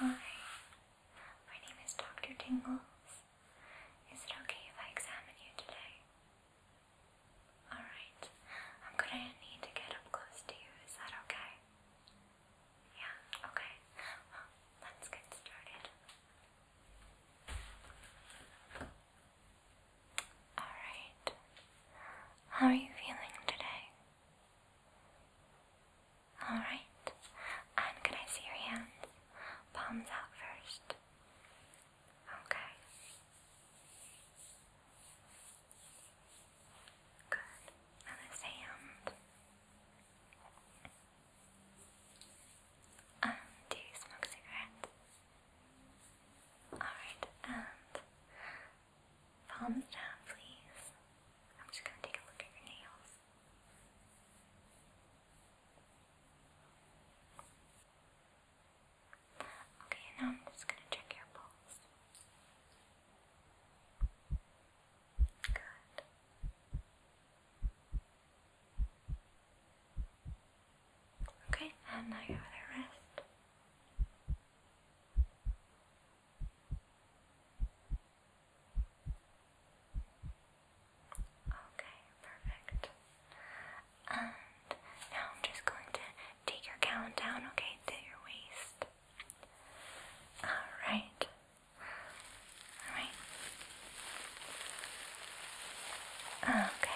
Hi, my name is Dr. Tingles. Is it okay if I examine you today? Alright, I'm gonna need to get up close to you, is that okay? Yeah, okay. Well, let's get started. Alright. How are you feeling today? Alright. And can I see your hands? Palms out first. Okay. Good. Now this hand. Um, do you smoke cigarettes? Alright, and palms down please. I'm just gonna take a look at your nails. Okay, now I'm just gonna check your pulse. Good. Okay, and now you rest. Okay, perfect. And now I'm just going to take your gown down, okay, to your waist. Alright, Alright. Okay.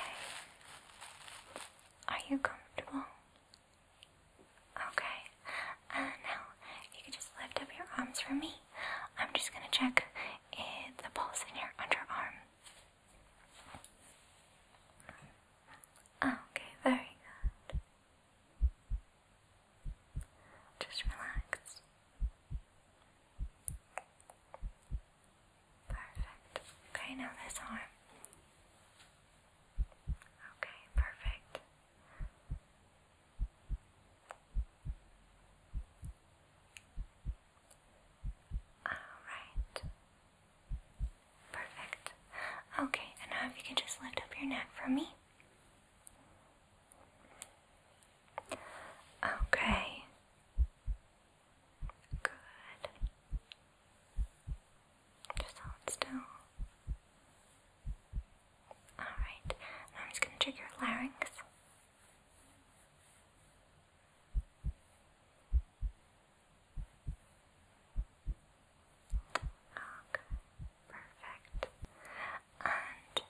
Are you comfortable? Okay. Uh, now, you can just lift up your arms for me. I'm just gonna check it, the pulse in your underarm. Okay, very good. Just relax. Perfect. Okay, now this arm. Okay, perfect. Alright. Perfect. Okay, and now if you can just lift up your neck for me. Okay. Good. Just hold still. Alright, I'm just going to check your larynx. Okay. Perfect. And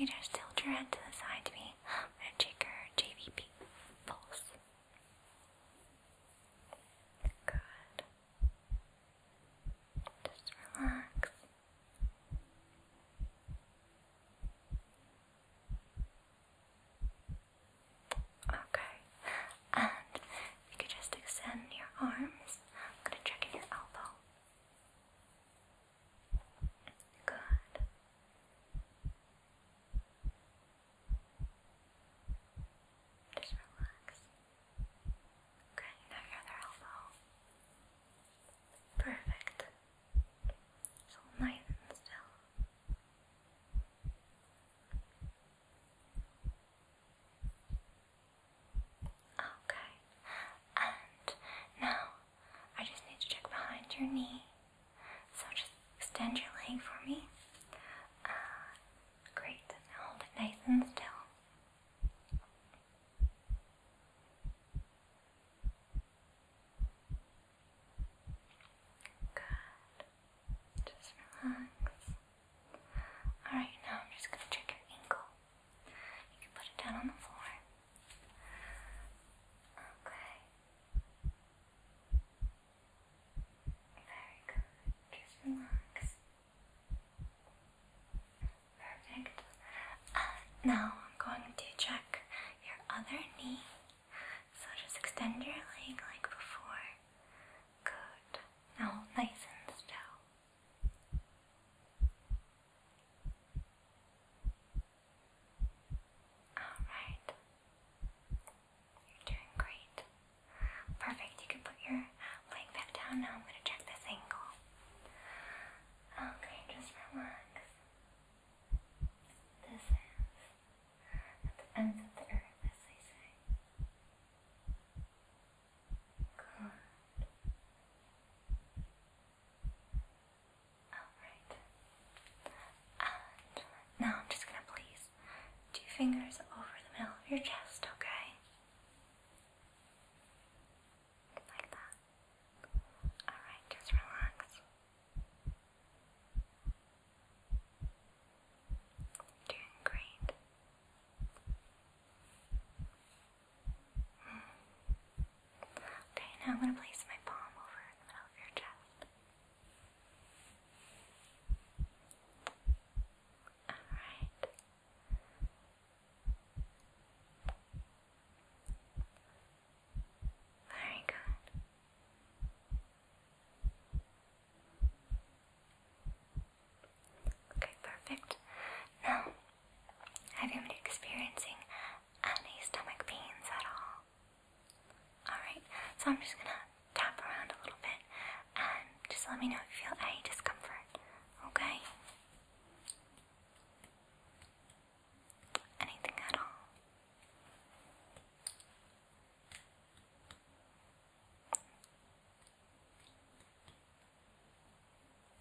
you could just tilt your head to the side to me, i check your JVP pulse. Good. Just relax. Okay. And you could just extend your arms, I'm going to check in your elbow. Good. Just relax. Okay, now your other elbow. Perfect. So nice and still. Okay. And now I just need to check behind your knee. So just extend your leg for me. Uh, great. hold it nice and still. Good. Just relax. Alright, now I'm just going to check your ankle. You can put it down on the floor. Okay. Very good. Just relax. Perfect. Uh, now I'm going to check your other knee. So just extend your leg like before. Good. Now nice and still. Alright. You're doing great. Perfect. You can put your leg back down now. I'm going to check this ankle. Okay, just relax. This is at the ends of the earth, as they say. Good. Alright. And now I'm just going to place two fingers over the middle of your chest, okay? Like that. Alright, just relax. Doing great. Okay, now I'm going to place my palm over in the middle of your chest. Alright. Very good. Okay, perfect. Now, have you been experiencing any stomach pains at all? Alright, so I'm just gonna tap around a little bit and just let me know if you feel any discomfort, okay? Anything at all?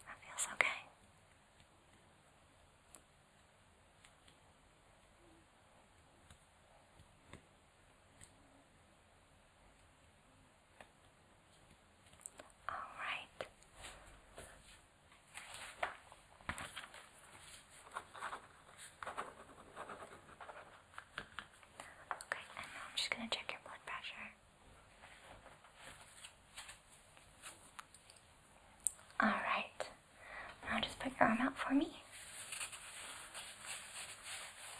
That feels okay. All right. Okay, now I'm just going to check your blood pressure. All right. Now just put your arm out for me.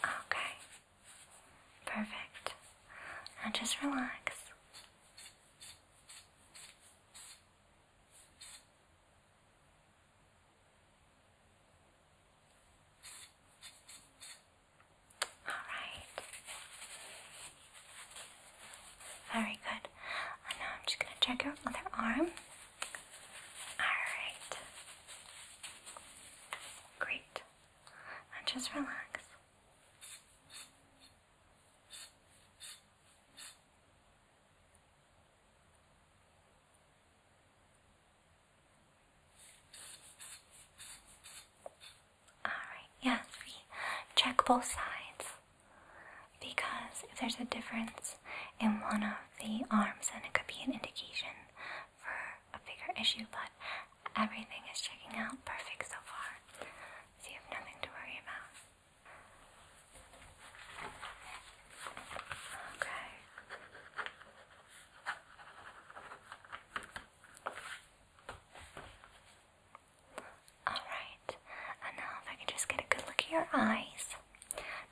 Okay. Perfect. Now just relax. Alright. Very good. Uh, now I'm just going to check your other arm. Alright. Great. just relax. Alright, yeah, check both sides. Because if there's a difference in one of the arms, then it could be an indication for a bigger issue, but everything is checking out perfect so far. So you have nothing to worry about. Okay. Alright, and now if I could just get a good look at your eyes.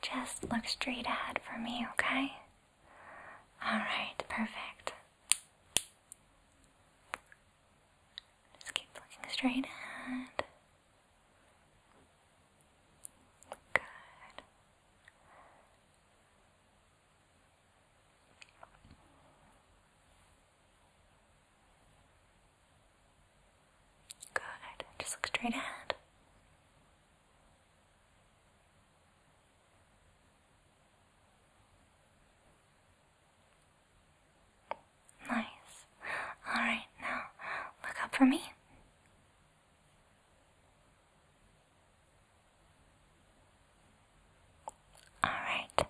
Just look straight ahead for me, okay? Alright, perfect. Just keep looking straight ahead. Good. Good. Just look straight ahead. Nice. Alright, now look up for me. Alright,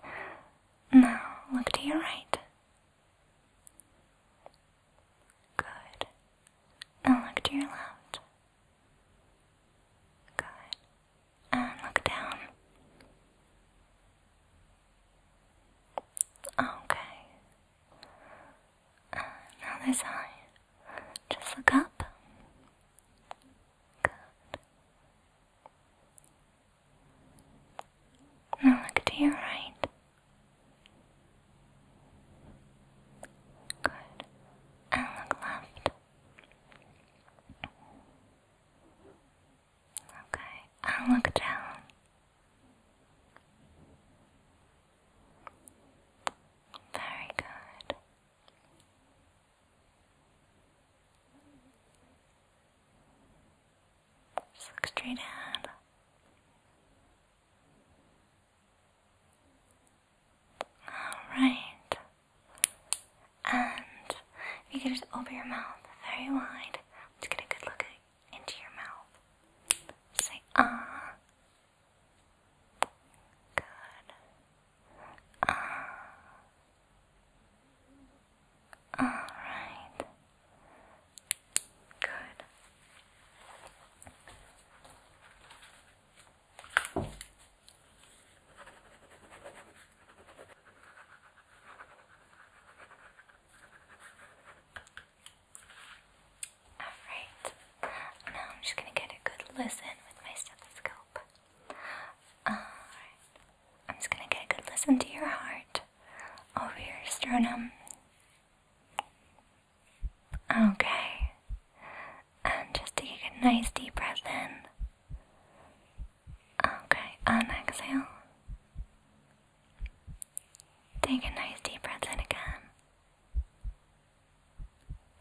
now look to your right. Good. Now look to your left. Good. And look down. Okay. Uh, now this eye. Just look up. Good. Now look to your right. Good. And look left. Okay. And look down. Very good. Just look straight ahead. Alright. And you could just open your mouth very wide to get a good look into your mouth. Say ah. Good. Ah. All right. Good. Alright, now I'm just going to get a good listen with my stethoscope. I'm just gonna get a good listen to your heart over your sternum. Okay. And just take a nice deep breath in. Okay, and exhale. Take a nice deep breath in again.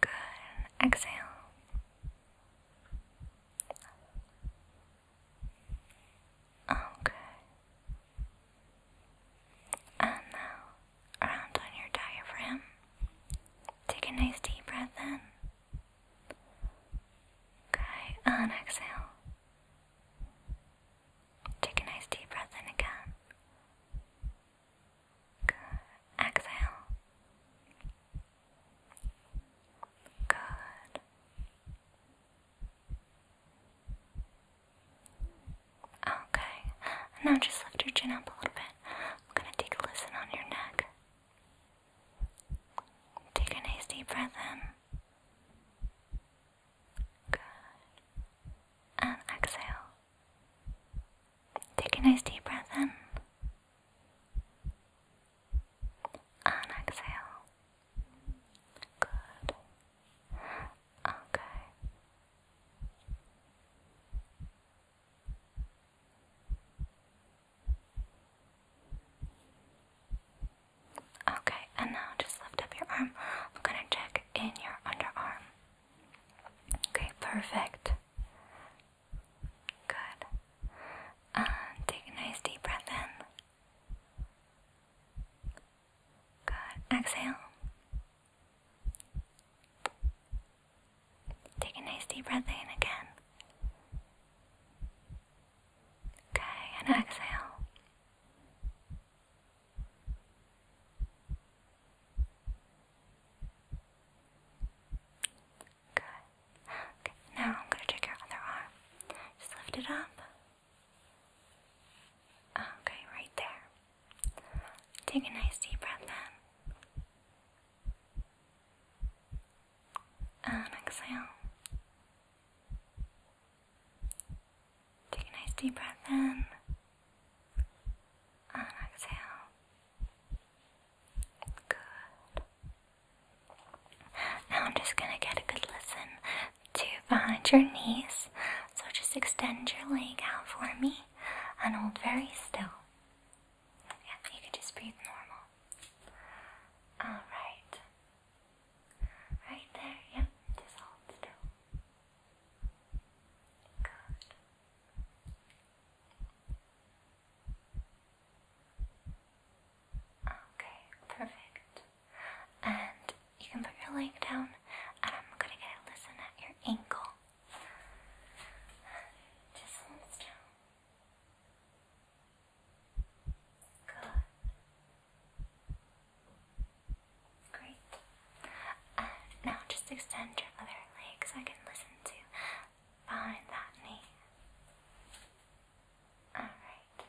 Good. Exhale. Okay. And now, around on your diaphragm. Take a nice deep breath in. Okay, on exhale. Take a nice deep breath in again. Good. Exhale. Good. Okay. Now just lift your chin up a little bit. I'm gonna take a listen on your neck. Take a nice deep breath in. Good. And exhale. Take a nice deep breath in and exhale. Good. Okay. Okay, and now just lift up your arm. I'm gonna check in your underarm. Okay, perfect. Good. Uh, take a nice deep breath in. Good. Exhale. Take a nice deep breath in again. Okay, and exhale. Good. Okay, now I'm going to take your other arm. Just lift it up. Okay, right there. Take a nice deep breath in. And exhale. Take a nice deep breath in. And exhale. Good. Now I'm just gonna get a good listen to behind your knees. So just extend your leg out for me and hold very still. Yeah, you can just breathe normal. Alright. Right there, yep, just hold still. Good. Okay, perfect. And you can put your leg down, and I'm gonna get a listen at your ankle. Just listen down. Good. Great. Uh, now just extend your other leg so I can listen to behind that knee. All right.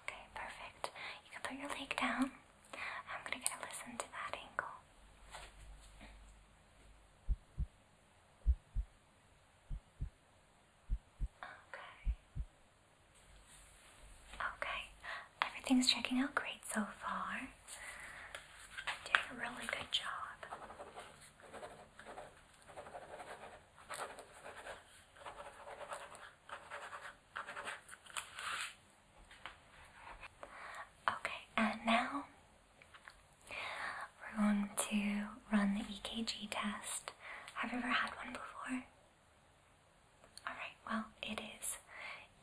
Okay, perfect. You can put your leg down. I'm gonna get a listen to that ankle. Okay. Okay. Everything's checking out great so far. I Doing a really good job. Okay, and now we're going to run the EKG test. Have you ever had one before? Alright, well, it is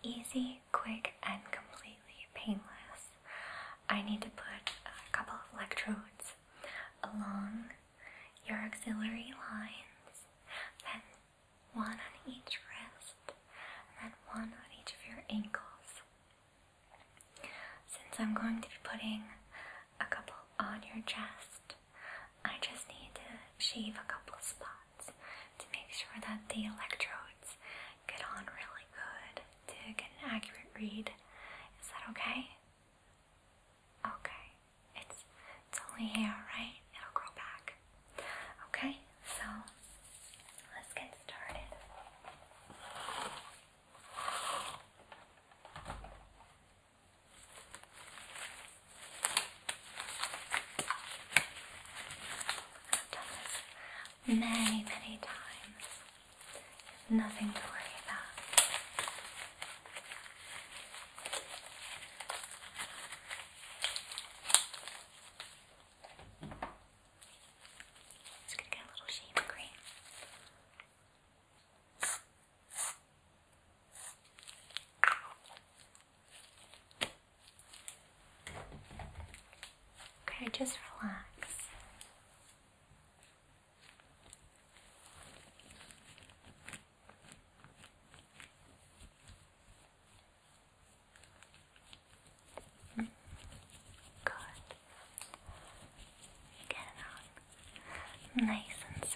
easy, quick, and completely painless. I need to put a couple of electrodes along your auxiliary lines, then one on each wrist, and then one on each of your ankles. Since I'm going to be putting a couple on your chest, I just need to shave a couple spots to make sure that the electrodes get on really good to get an accurate read. Is that okay? Okay. It's it's only hair, right? It'll grow back. Okay, so let's get started. Okay, I've done this many, many times. Nothing to worry about. Just going get a little shade of Okay, just relax. Good. Get it on. Nice and smooth.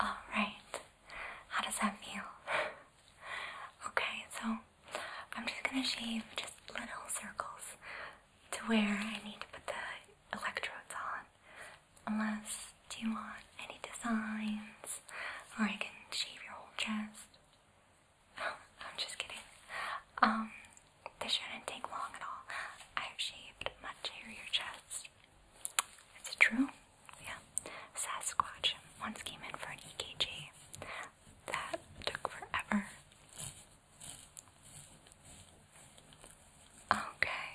All right. How does that feel? okay, so I'm just gonna shave just little circles to where I need to put the electrodes on. Unless, do you want any designs, or I can shave your whole chest. I'm just kidding. Um, this shouldn't take long at all. I've shaved much hairier your chest. Is it true? Yeah. Sasquatch once came in for an EKG. That took forever. Okay.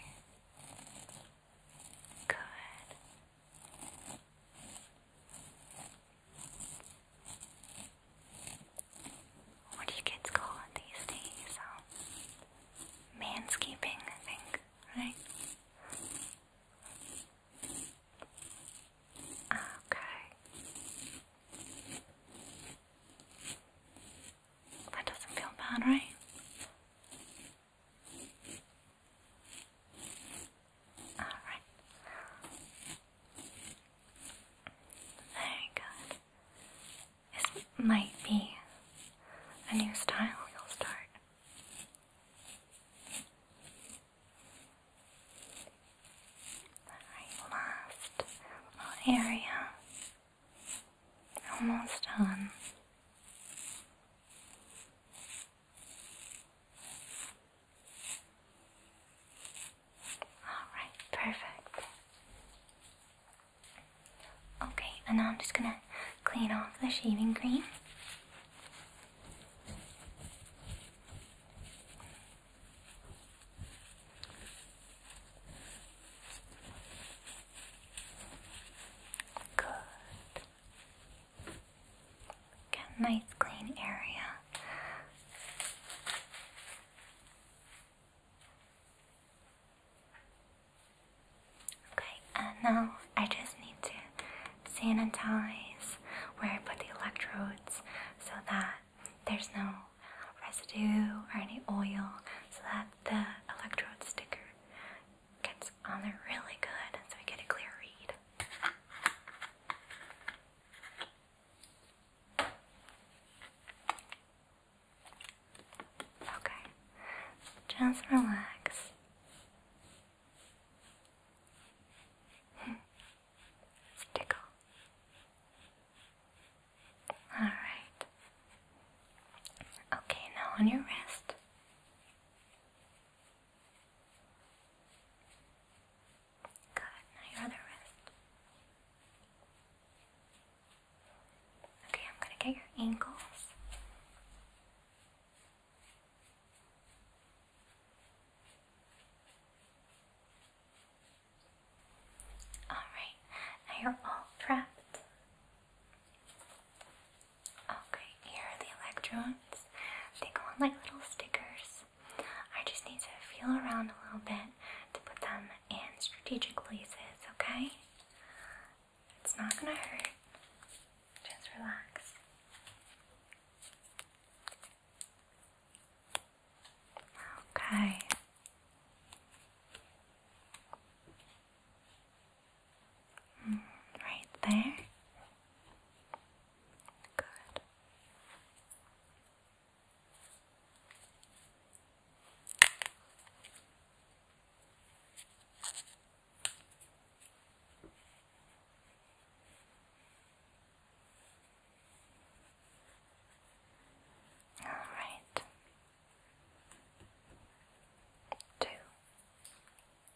What do you kids call it these days? manscaping, I think, right? Okay. That doesn't feel bad, right? Alright. Very good. This might be a new style we will start. last area. Almost done. Alright, perfect. Okay, and now I'm just gonna clean off the shaving cream. Good. Got a nice clean area. Okay, and now I just need to sanitize where I put the electrodes so that there's no residue or any oil so that the electrode sticker gets on there really good so we get a clear read. Okay, just relax. it's tickle. Alright. Okay, now on your wrist. Good, now your wrist. Okay, I'm gonna get your ankles. Alright, now you're all trapped. Okay, here are the electrons. They go on like little stickers. I just need to feel around a little bit to put them in strategic places, okay? It's not gonna hurt. Just relax. Okay right there. Good. All right. Two.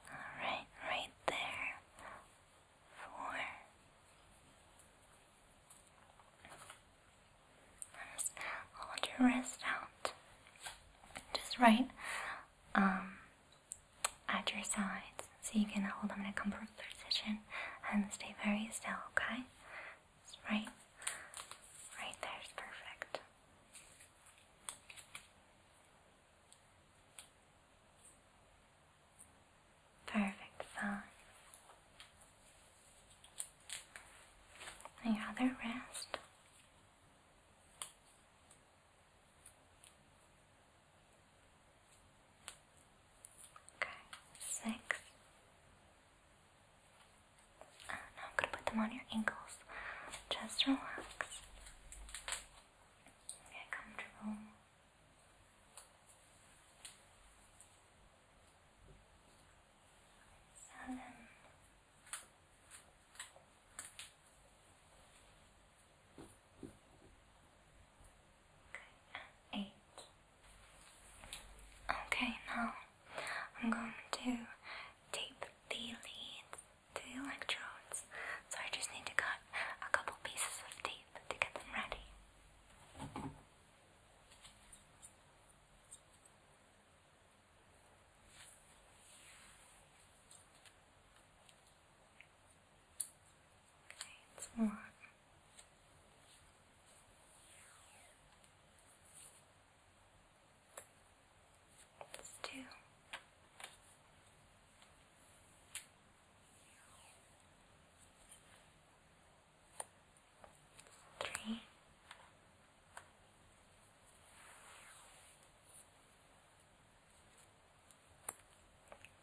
Alright, right there. Four. Just hold your wrist out. Just right um, at your sides so you can hold them in a comfortable position and stay very still, okay? right? Right there is perfect. Perfect size. other wrist. Okay, six, and now I'm going to put them on your ankles. Just relax. Get comfortable. Seven. Okay, and eight. Okay, now I'm going to tape the leads to the electrodes. So I just need to cut a couple pieces of tape to get them ready. Okay, more it's two. Three.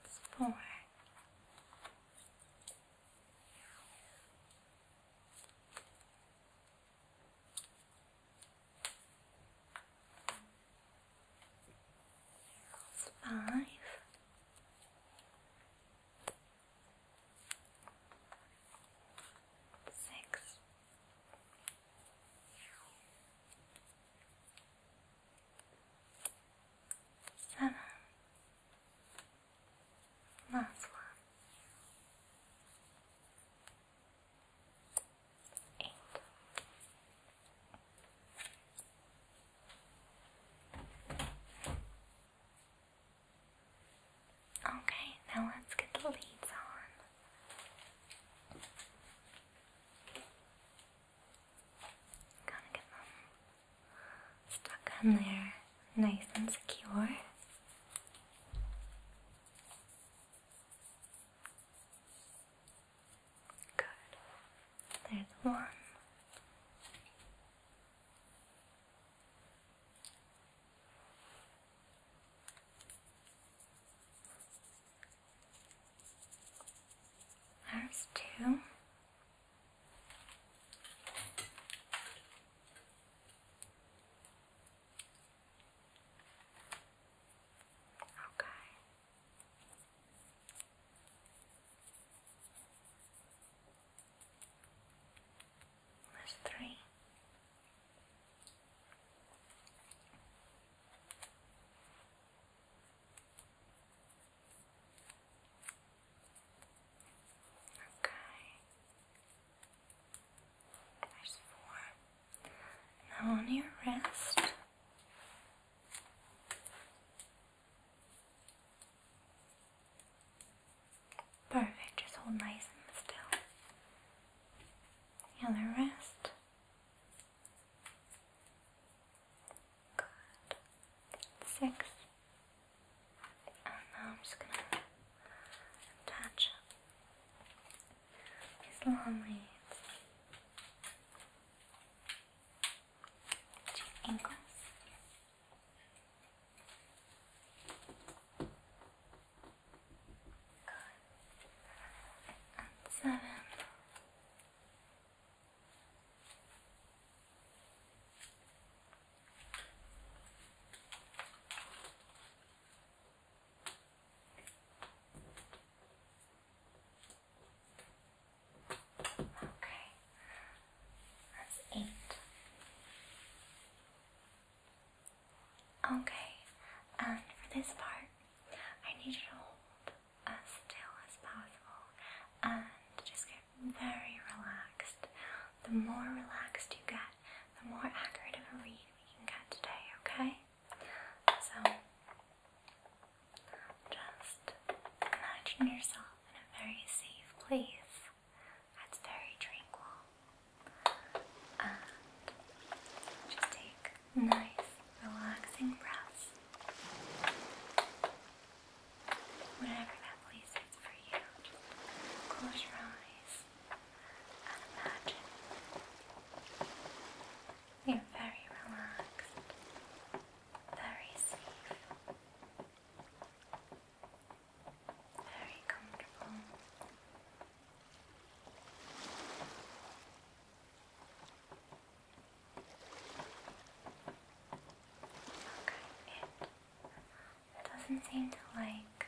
It's four. Five. Six. Last one. Eight. Okay, now let's get the leads on. Gotta get them stuck on there, nice and secure. Good. There's one. There's two. Okay. That's three. Okay. There's four. Now on your wrist. Perfect, just hold nice and still. The other Good. Six. And now I'm just gonna attach these long leaves to Okay, that's eight. Okay, and um, for this part, I need you to hold as uh, still as possible and just get very relaxed. The more relaxed you get, the more accurate of a read we can get today, okay? So, just imagine yourself in a very safe place that's very tranquil. just take nice, relaxing breaths. Whatever that place is for you, close your eyes and imagine you're very relaxed, very safe, very comfortable. Okay, it doesn't seem to like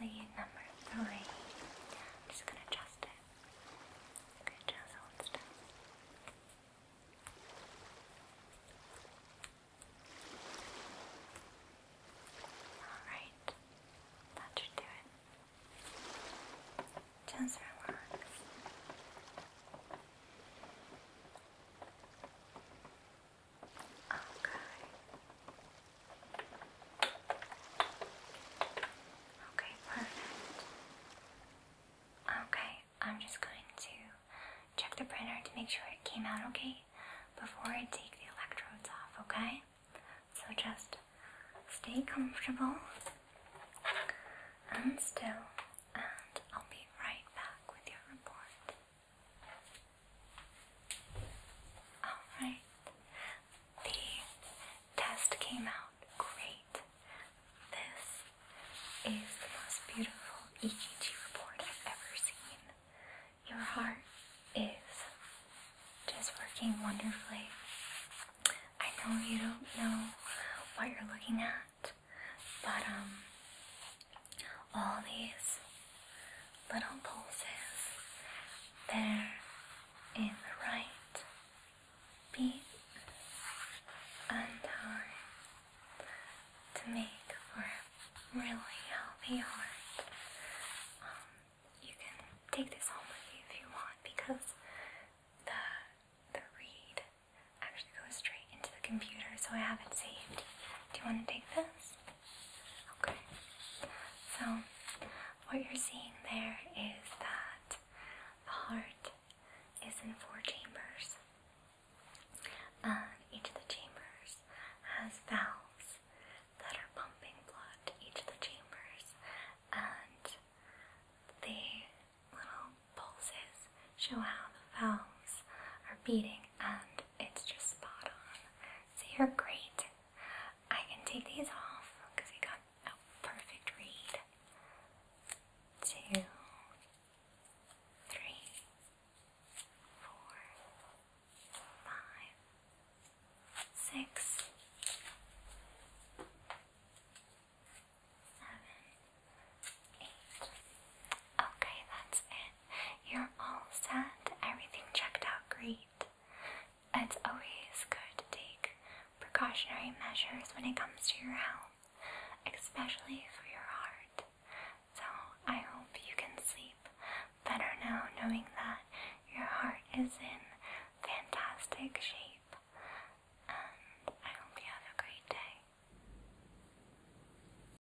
lead number three. I'm just gonna adjust it. Okay, just hold still. Alright, that should do it. Just relax. Okay. Okay, perfect. Okay, I'm just going to check the printer to make sure it came out okay before I take the electrodes off, okay? So just stay comfortable and still, and I'll be right back with your report. Alright, the test came out great. This is the most beautiful EKG report I've ever seen. Your heart is just working wonderfully. I know you don't know what you're looking at, but um, all these little pulses there in the right beat and time to make for a really healthy heart. Um, you can take this home with you if you want because the the read actually goes straight into the computer, so I have it saved. Do you want to take this? Okay, so what you're seeing there is that the heart is in four chambers. And each of the chambers has valves that are pumping blood to each of the chambers, and the little pulses show how the valves are beating and it's just spot on. So you're great. I can take these off because we got a perfect read. Two, three, four, five, six, seven, eight. Okay, that's it. You're all set, everything checked out great. It's always good to take precautionary measures when it comes to your health, especially for your heart. So, I hope you can sleep better now knowing that your heart is in fantastic shape. And I hope you have a great day.